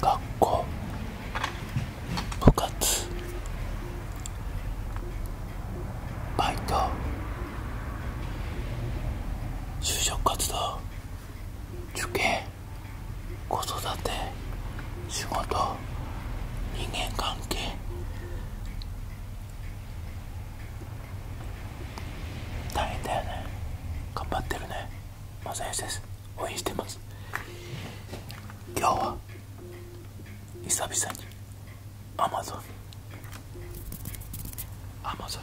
学校部活バイト就職活動受験子育て仕事人間関係大変だよね頑張ってるねマサヨシです応援し今日は久々にアマゾンアマゾン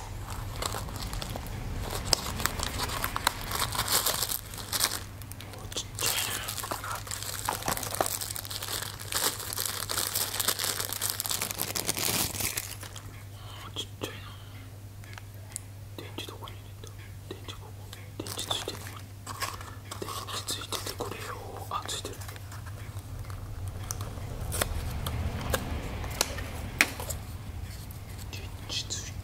ちっちゃいなちっちゃいな電池どこに入れた電池ここ電池ついてる電池ついててこれよあついてる電池つ今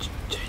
ちっちゃいね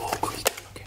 walk with okay.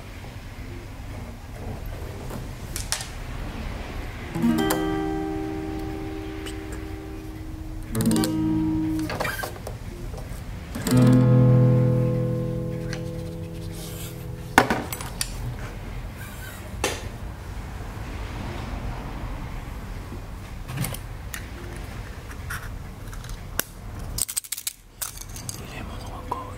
入れ物がかわいい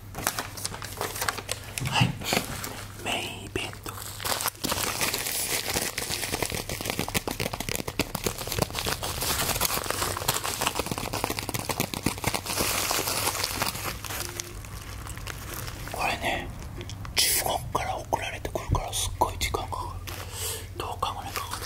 はいメインイベントこれね中国から送られてくるからすっごい時間かかるどう考えらいかかる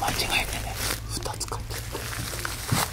間違えてね2つ買って。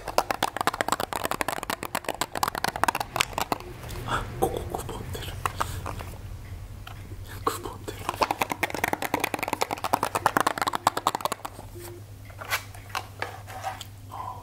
あここくぼんでるくぼんでるああ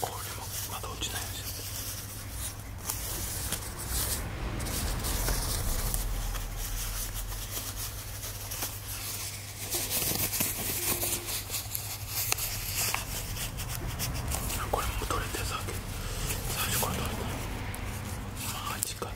これもまだ落ちないんですよこれも取れてさ最初から取れてマジか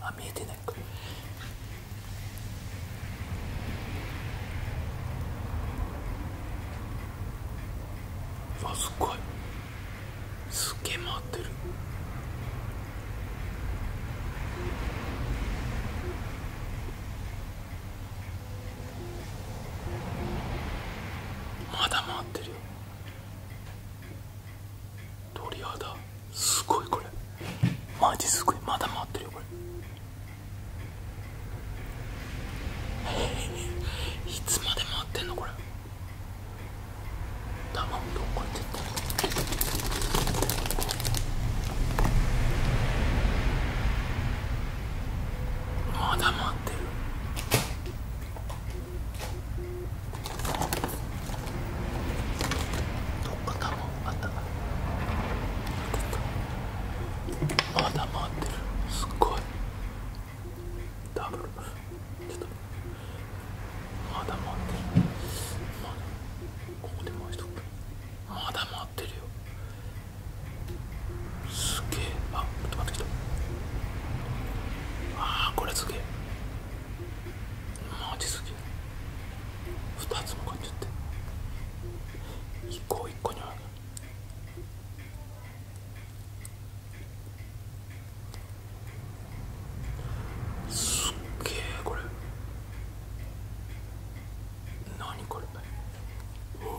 あ見えてないかあすっごいすっげえ回ってるまだ回ってるよ鳥肌すごいこれマジすごいまだ回ってるよこれ いつまで回ってんのこれまだ回ってるどっか卵あったかまだ回ってるすっごいダブルまだ回ってるまだここで回しとくまだ回ってるよすげえあちょっと待ってきたあーこれすげえマジすげえ2つも買っちゃって1個1個にあるすっげえこれ何これおおおお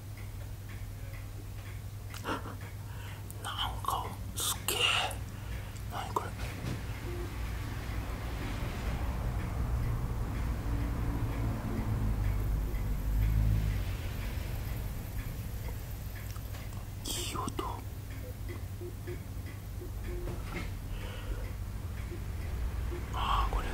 なんかすげえ何これいい音ああこれいいよ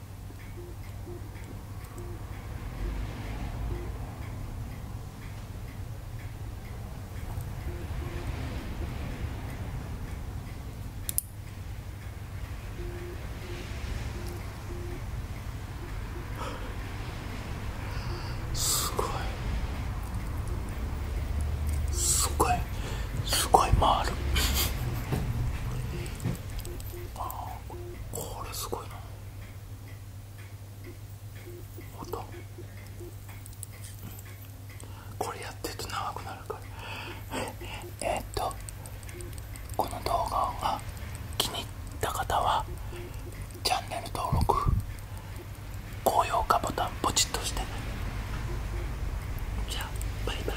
すごいすすごごい。い回るああ。これすごいな音これやってると長くなるからえっとこの動画が気に入った方はチャンネル登録高評価ボタンポチッとしてじゃあバイバイ